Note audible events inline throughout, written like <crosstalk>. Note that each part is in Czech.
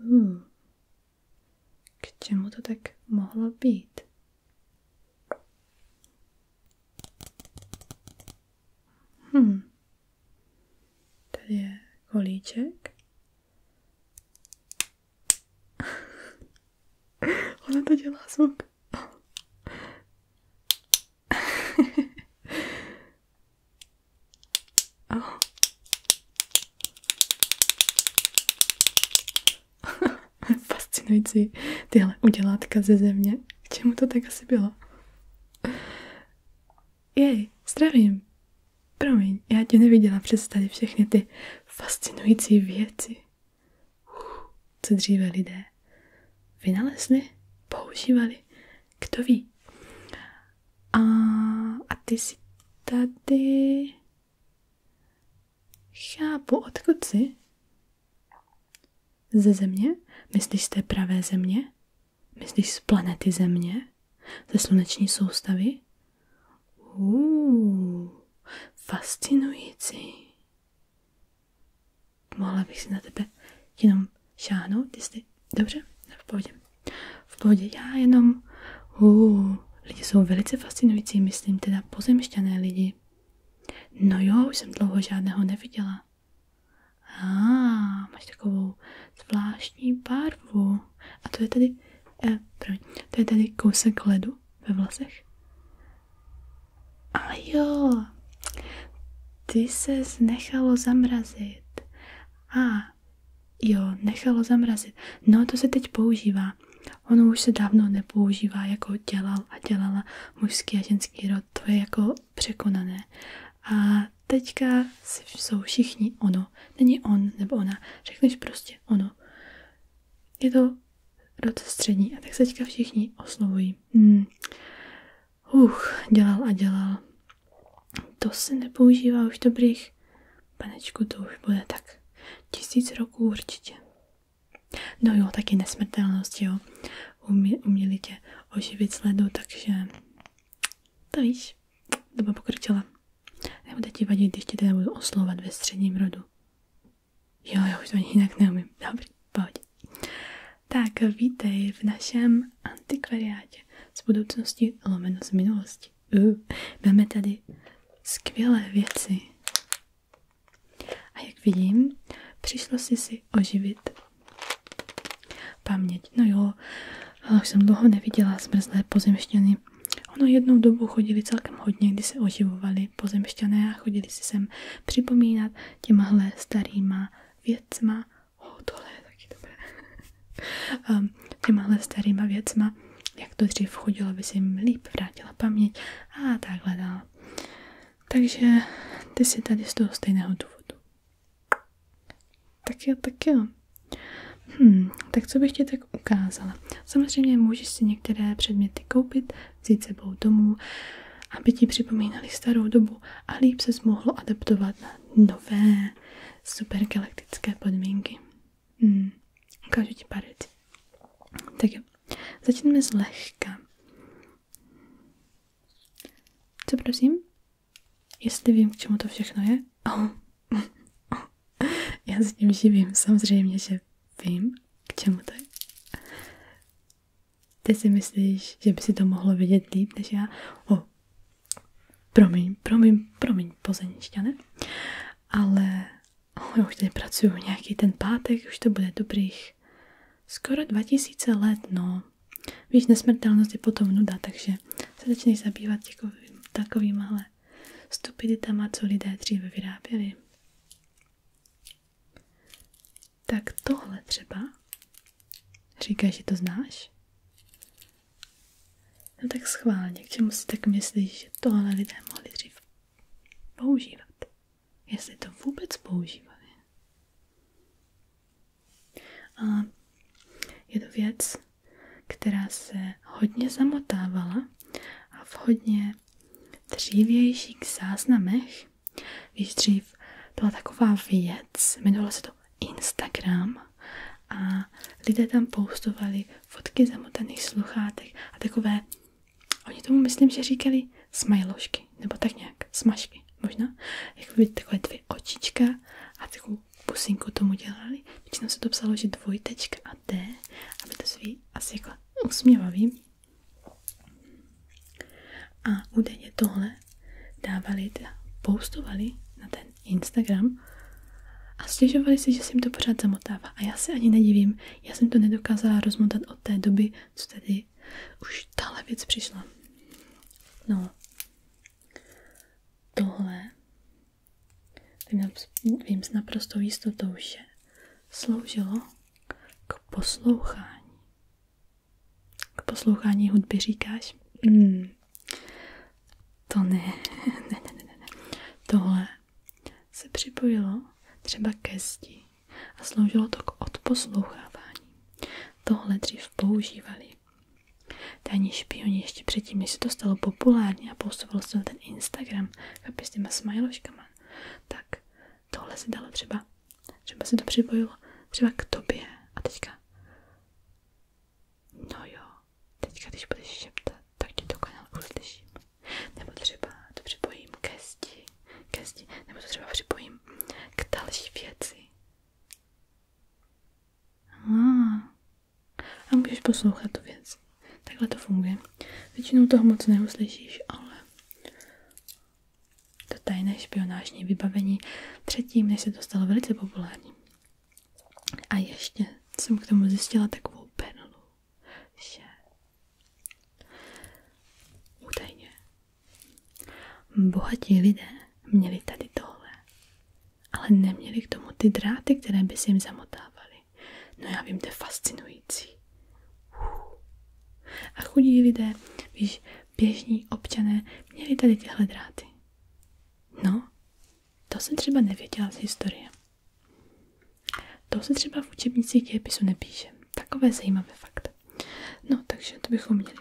Hmm. K čemu to tak mohlo být? Hm. Tady je kolíček. <laughs> Ona to dělá zvuk. <laughs> Fascinující tyhle udělátka ze země. K čemu to tak asi bylo? Jej, zdravím. Promiň, já tě neviděla přes tady všechny ty fascinující věci. Uf, co dříve lidé vynalezli, používali kdo ví? A, a ty jsi tady... Chápu, odkud jsi? Ze země? Myslíš z té pravé země? Myslíš z planety země? Ze sluneční soustavy? Uuu, fascinující. Mohla bych si na tebe jenom šáhnout, jestli... Dobře? Ne, v pohodě. V pohodě. Já jenom... Uh, lidi jsou velice fascinující, myslím, teda pozemšťané lidi. No jo, už jsem dlouho žádného neviděla. A ah, máš takovou zvláštní barvu. A to je tady, eh, promiň, to je tady kousek ledu ve vlasech. A jo, ty se nechalo zamrazit. A jo, nechalo zamrazit. No to se teď používá. Ono už se dávno nepoužívá, jako dělal a dělala mužský a ženský rod. To je jako překonané. A teďka jsou všichni ono. Není on nebo ona. Řekneš prostě ono. Je to rod střední a tak se teďka všichni oslovují. Hmm. Uch, dělal a dělal. To se nepoužívá už dobrých. Panečku, to už bude tak tisíc roků určitě. No jo, taky nesmrtelnost, jo. Umě, uměli tě oživit sledu, takže to víš, doba pokročila. Nebude ti vadit, když tě teda budu oslovat ve středním rodu. Jo, já už to jinak neumím. Dobrý, pojď. Tak vítej v našem antikvariátě z budoucnosti lomeno z minulosti. Uh, máme tady skvělé věci. A jak vidím, přišlo si si oživit paměť. No jo, ale už jsem dlouho neviděla zmrzlé pozemšťany. Ono jednou dobu chodili celkem hodně, kdy se oživovali pozemšťané a chodili si sem připomínat těmahle starýma věcma oh, tohle je taky dobré. um, <laughs> těmahle starýma věcma, jak to dřív chodilo, by si jim líp vrátila paměť a takhle dále. Takže ty si tady z toho stejného důvodu. Tak jo, tak jo. Hmm, tak co bych ti tak ukázala? Samozřejmě můžeš si některé předměty koupit, vzít sebou domů, aby ti připomínali starou dobu a líp se mohlo adaptovat na nové supergalaktické podmínky. Hmm, ukážu ti pár věcí. Tak jo, začneme zlehka. Co prosím? Jestli vím, k čemu to všechno je? Oh. <laughs> Já s tím živím, samozřejmě, že vím, k čemu to je. Ty si myslíš, že by si to mohlo vidět líp než já? oh, Promiň, promiň, promiň, pozenišťane. Ale já už tady pracuju nějaký ten pátek, už to bude dobrých skoro 2000 let, no. Víš, nesmrtelnost je potom nuda, takže se začneš zabývat takovým, takovýmhle stupiditama, co lidé dříve vyráběli. Tak tohle třeba Říkáš, že to znáš? No tak schválně, k čemu si tak myslíš, že tohle lidé mohli dřív používat? Jestli to vůbec používali. A je to věc, která se hodně zamotávala a v hodně dřívějších záznamech, víš, dřív byla taková věc, jmenovalo se to Instagram a lidé tam postovali fotky zamotaných sluchátek a takové, oni tomu myslím, že říkali smajlošky, nebo tak nějak, smažky možná, Jak jakoby takové dvě očička a takovou pusinku tomu dělali. Většinou se to psalo, že dvojtečka a D, aby to svý asi jako usměvavý. A údajně tohle dávali, teda postovali na ten Instagram a stěžovali si, že se jim to pořád zamotává. A já se ani nedivím, já jsem to nedokázala rozmotat od té doby, co tady už tahle věc přišla. No, tohle vím, vím s naprostou jistotou, že sloužilo k poslouchání k poslouchání hudby říkáš, mm, to <laughs> ne, ne, ne, ne, ne, tohle se připojilo třeba ke zdi a sloužilo to k odposlouchávání. Tohle dřív používali. Tajní špioni ještě předtím, než se to stalo populárně a postoval se na ten Instagram kapě s těma smajloškama, tak tohle se dalo třeba, třeba se to připojilo třeba k tobě a teďka No jo, teďka když budeš šeptat, tak ti to kanál uslyším. Nebo třeba to připojím ke zdi, ke nebo to třeba připojím k další věci. a můžeš poslouchat tu věc. Takhle to funguje. Většinou toho moc neuslyšíš, ale to tajné špionážní vybavení předtím, než se to stalo velice populární, a ještě jsem k tomu zjistila takovou perlu, že údajně bohatí lidé měli tady tohle, ale neměli k tomu ty dráty, které by se jim zamotávaly. No já vím, to je fascinující. A chudí lidé, víš, běžní občané, měli tady tyhle dráty. No, to jsem třeba nevěděla z historie. To se třeba v učebnicích dějepisu nepíše. Takové zajímavé fakt. No, takže to bychom měli.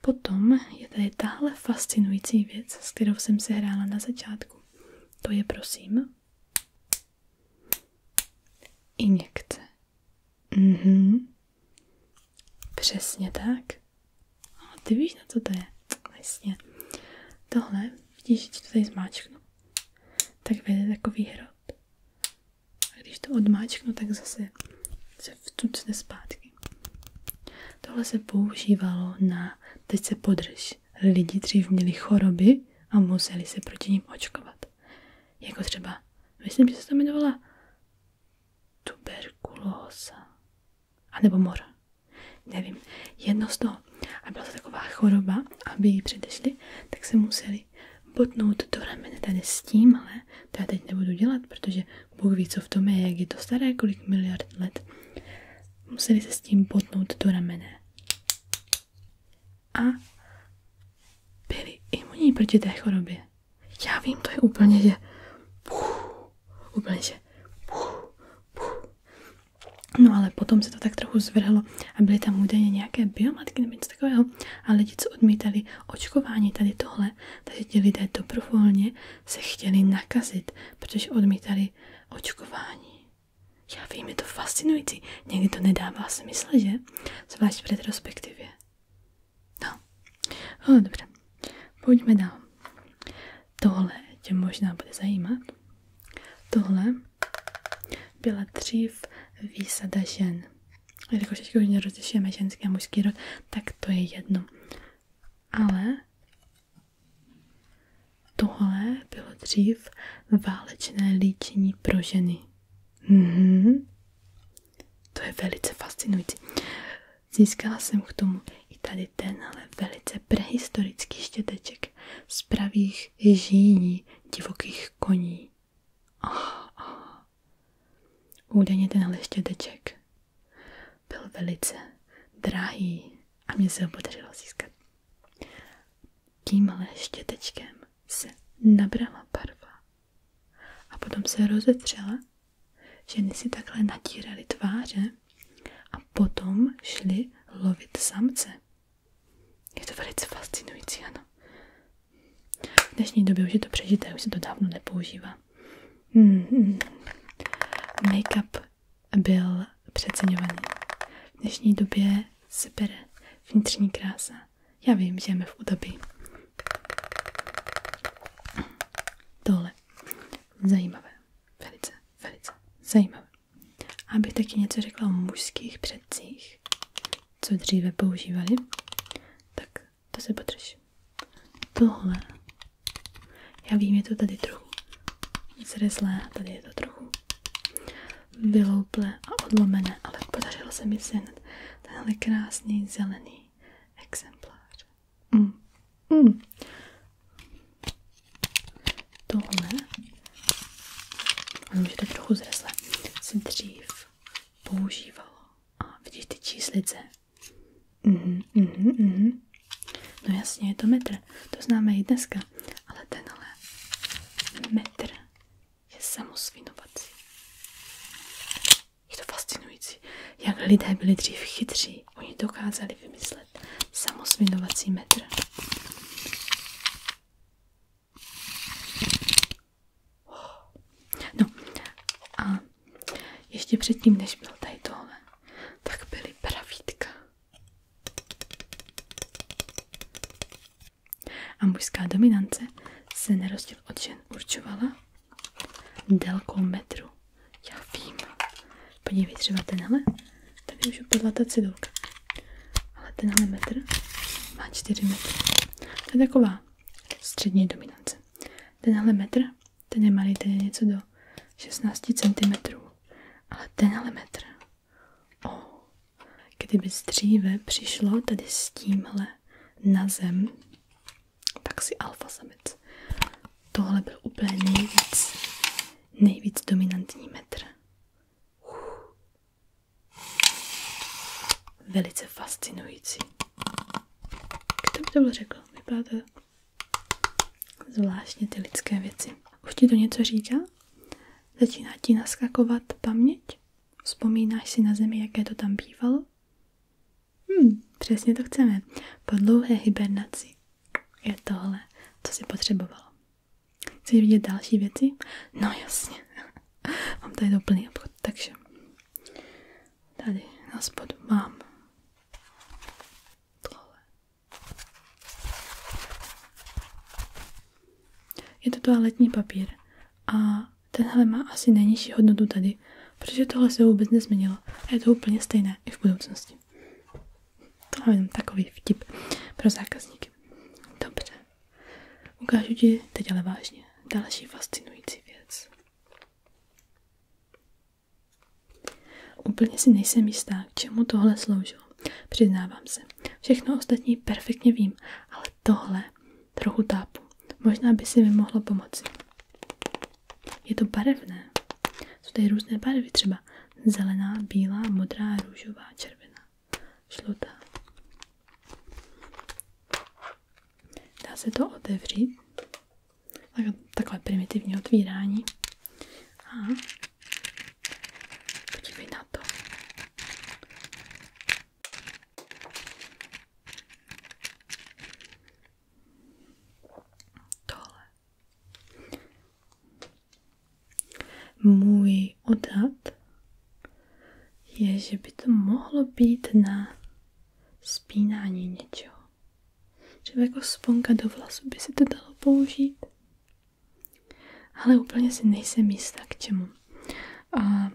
Potom je tady tahle fascinující věc, s kterou jsem se hrála na začátku. To je prosím injekce. Mhm, Přesně tak. A ty víš, na co to je. Jasně. Tohle, vidíš, že to tady zmáčknu. Tak vede takový hrob. A když to odmáčknu, tak zase se vtucne zpátky. Tohle se používalo na, teď se podrž. Lidi dřív měli choroby a museli se proti ním očkovat. Jako třeba, myslím, že se to jmenovala tuberkulóza. A nebo mora. Nevím, jedno z toho. A byla to taková choroba, aby ji předešli, tak se museli botnout do ramene tady s tímhle. To já teď nebudu dělat, protože Bůh ví, co v tom je, jak je to staré, kolik miliard let. Museli se s tím botnout do ramene. A byli imunní proti té chorobě. Já vím, to je úplně, že... Puh, úplně, že... Puh, puh. No ale potom se to tak trochu zvrhlo a byly tam údajně nějaké biomatky nebo něco takového a lidi, co odmítali očkování tady tohle, takže ti lidé dobrovolně se chtěli nakazit, protože odmítali očkování. Já vím, je to fascinující. Někdy to nedává smysl, že? Zvlášť v retrospektivě. No, no dobře, pojďme dál. Tohle tě možná bude zajímat. Tohle byla dřív výsada žen. Jelikož teď už rozlišujeme ženský a mužský rod, tak to je jedno. Ale tohle bylo dřív válečné líčení pro ženy. Mhm. To je velice fascinující. Získala jsem k tomu i tady ten, ale velice prehistorický štěteček z pravých žíní divokých koní. Oh, oh. Údajně tenhle štěteček byl velice drahý a mě se ho podařilo získat. Tímhle štětečkem se nabrala barva a potom se rozetřela Ženy si takhle natíraly tváře a potom šly lovit samce. Je to velice fascinující, ano. V dnešní době už je to přežité, už se to dávno nepoužívá. Hmm. Make-up byl přeceňovaný. V dnešní době se bere vnitřní krása. Já vím, že žijeme v údobí. Tohle ale zajímavé, velice, velice zajímavé. Abych taky něco řekla o mužských předcích, co dříve používali, tak to se potrž. Tohle, já vím, je to tady trochu zreslé, tady je to trochu vylouplé a odlomené, ale podařilo se mi sehnat tenhle krásný zelený exemplář. Mm. Mm. Tohle ono už je tak trochu zresle, se dřív používalo. A vidíš ty číslice? Mhm, mhm, mhm. No jasně, je to metr. To známe i dneska. Ale tenhle metr je samosvinovací. Je to fascinující, jak lidé byli dřív chytří. Oni dokázali vymyslet samosvinovací metr. No a ještě předtím, než byl tady tohle, tak byly pravítka. A mužská dominance se na rozdíl od žen určovala délkou metru. Já vím. Podívej třeba tenhle. Tady už upadla ta cedulka. Ale tenhle metr má 4 metry. To je taková střední dominance. Tenhle metr, ten je malý, ten je něco do 16 cm. Ale tenhle metr, oh, kdyby dříve přišlo tady s tímhle na zem, tak si alfa samec. Tohle byl úplně nejvíc, nejvíc dominantní metr. Velice fascinující. Kdo by to byl řekl? Vypadá to zvláštně ty lidské věci. Už ti to něco říká? Začíná ti naskakovat paměť? Vzpomínáš si na zemi, jaké to tam bývalo? Hmm, přesně to chceme. Po dlouhé hibernaci je tohle, co si potřebovalo. Chceš vidět další věci? No jasně. <laughs> Mám tady doplný obchod, takže tady na spodu mám tohle. Je to toaletní papír a tenhle má asi nejnižší hodnotu tady protože tohle se vůbec nezměnilo a je to úplně stejné i v budoucnosti. To mám takový vtip pro zákazníky. Dobře, ukážu ti teď ale vážně další fascinující věc. Úplně si nejsem jistá, k čemu tohle sloužilo. Přiznávám se, všechno ostatní perfektně vím, ale tohle trochu tápu. Možná by si mi mohlo pomoci. Je to barevné. Jsou tady různé barvy, třeba zelená, bílá, modrá, růžová, červená, žlutá. Dá se to otevřít. Takové primitivní otvírání. A podívej na to. Tohle můj odhad je, že by to mohlo být na spínání něčeho. Třeba jako sponka do vlasu by se to dalo použít. Ale úplně si nejsem jistá k čemu. A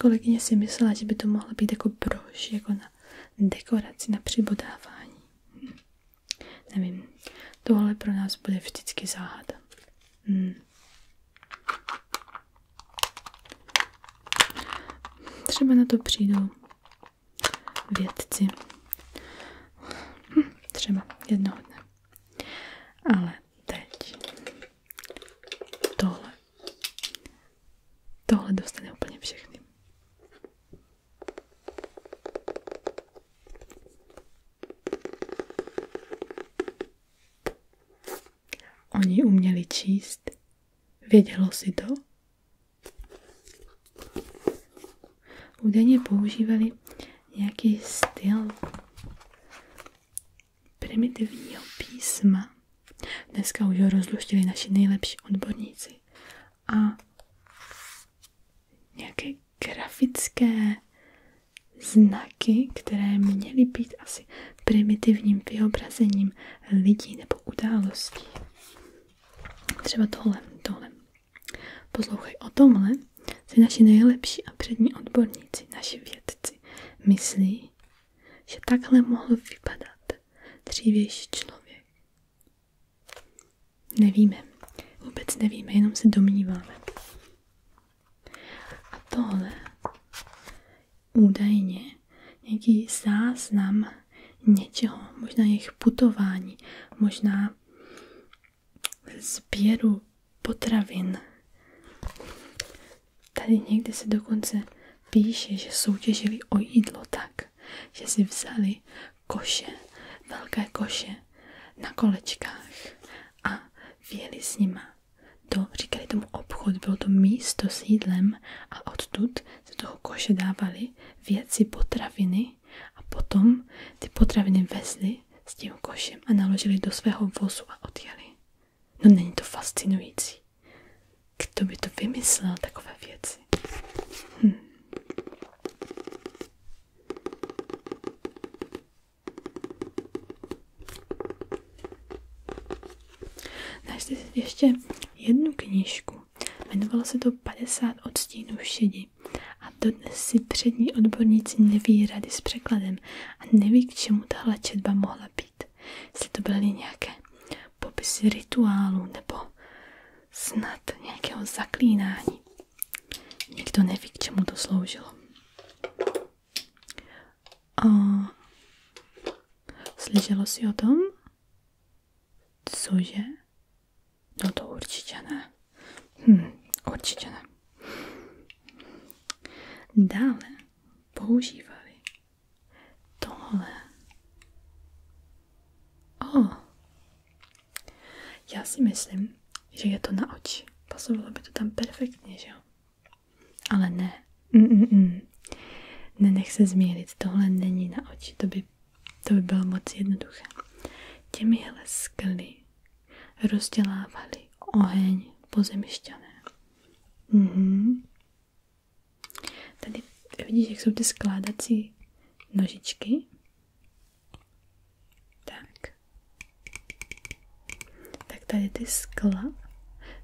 kolegyně si myslela, že by to mohla být jako brož, jako na na dekoraci, na přibodávání. Nevím, tohle pro nás bude vždycky záhada. Hm. Třeba na to přijdou vědci. Hm, třeba jednoho dne. Ale teď tohle. Tohle dostane úplně všechny. Oni uměli číst. Vědělo si to? Údajně používali nějaký styl primitivního písma. Dneska už ho rozluštili naši nejlepší odborníci a nějaké grafické znaky, které měly být asi primitivním vyobrazením lidí nebo událostí. Třeba tohle, tohle. Poslouchej o tomhle, si naši nejlepší a přední odborníci, naši vědci, myslí, že takhle mohl vypadat dřívější člověk. Nevíme. Vůbec nevíme, jenom se domníváme. A tohle údajně nějaký záznam něčeho, možná jejich putování, možná sběru potravin. Tady někde se dokonce píše, že soutěžili o jídlo tak že si vzali koše, velké koše na kolečkách a věli s nima to říkali tomu obchod, bylo to místo s jídlem a odtud se toho koše dávali věci, potraviny a potom ty potraviny vezli s tím košem a naložili do svého vozu a odjeli. No není to fascinující. Kdo by to vymyslel, takové věci? Hm. Našli ještě jednu knížku. Jmenovalo se to 50 odstínů šedí, A dodnes si přední odborníci neví rady s překladem a neví, k čemu tahle četba mohla být. Jestli to byly nějaké popisy rituálu nebo snad nějakého zaklínání. Nikdo neví, k čemu to sloužilo. A slyšelo si o tom? Cože? No to určitě ne. Hm, určitě ne. Dále používali tohle Oh. Já si myslím, že je to na oči. Pasovalo by to tam perfektně, že jo? Ale ne. Mm-mm. Nenech se zmílit, tohle není na oči, to by, to by bylo moc jednoduché. Těmihle skly rozdělávali oheň pozemišťané. Mhm. Tady vidíš, jak jsou ty skládací nožičky. Tak. Tak tady ty skla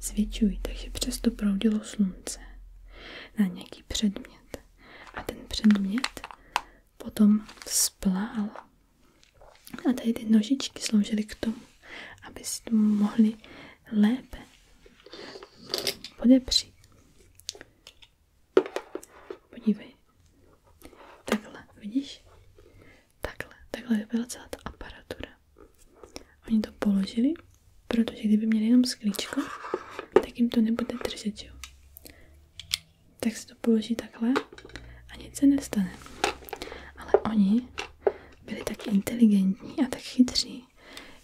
zvětšují, takže přes to proudilo slunce na nějaký předmět. A ten předmět potom splál. A tady ty nožičky sloužily k tomu, aby si to mohli lépe podepřít. Podívej. Takhle, vidíš? Takhle, takhle byla celá ta aparatura. Oni to položili, protože kdyby měli jenom sklíčko, tak jim to nebude držet, jo? Tak se to položí takhle a nic se nestane. Ale oni byli tak inteligentní a tak chytří,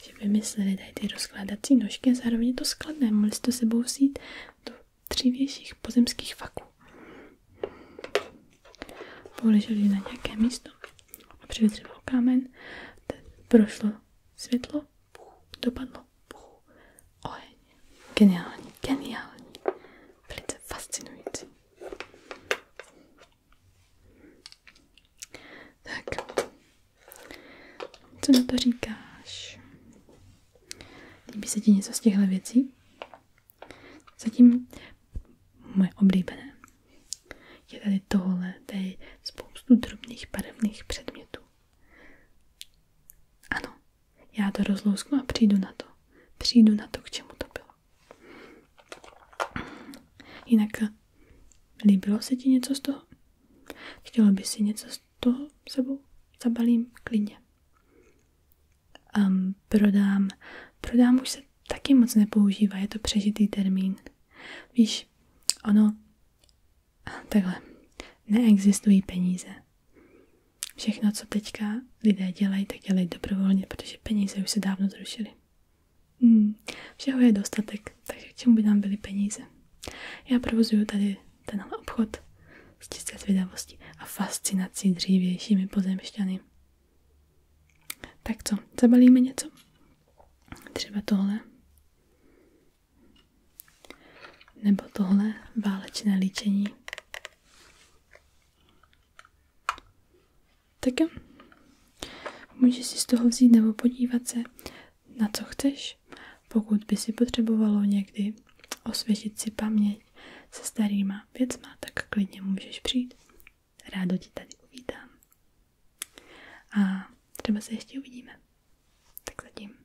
že vymysleli tady ty rozkládací nožky a zároveň je to skladné. Mohli si to sebou vzít do tří větších pozemských faků. Poleželi na nějaké místo a přivětřilo kámen, prošlo světlo, dopadlo, oheň. Geniální, geniální, velice fascinující. Tak, co na to říkáš? Líbí se ti něco z těchto věcí? Zatím moje oblíbené. Je tady tohle, tady spoustu drobných barevných předmětů. Ano, já to rozlousknu a přijdu na to. Přijdu na to, k čemu to bylo. Jinak Líbilo se ti něco z toho? Chtěla by si něco z toho sebou? Zabalím klidně. Um, prodám. Prodám už se taky moc nepoužívá, je to přežitý termín. Víš, ono, takhle, neexistují peníze. Všechno, co teďka lidé dělají, tak dělají dobrovolně, protože peníze už se dávno zrušily. Hmm, všeho je dostatek, takže k čemu by nám byly peníze? Já provozuju tady ten obchod s čisté zvědavosti a fascinací dřívějšími pozemšťany. Tak co, zabalíme něco? Třeba tohle. Nebo tohle válečné líčení. Tak jo. Můžeš si z toho vzít nebo podívat se, na co chceš. Pokud by si potřebovalo někdy osvěžit si paměť se starýma věcma, tak klidně můžeš přijít. Rádo ti tady uvítám. A třeba se ještě uvidíme. Tak zatím.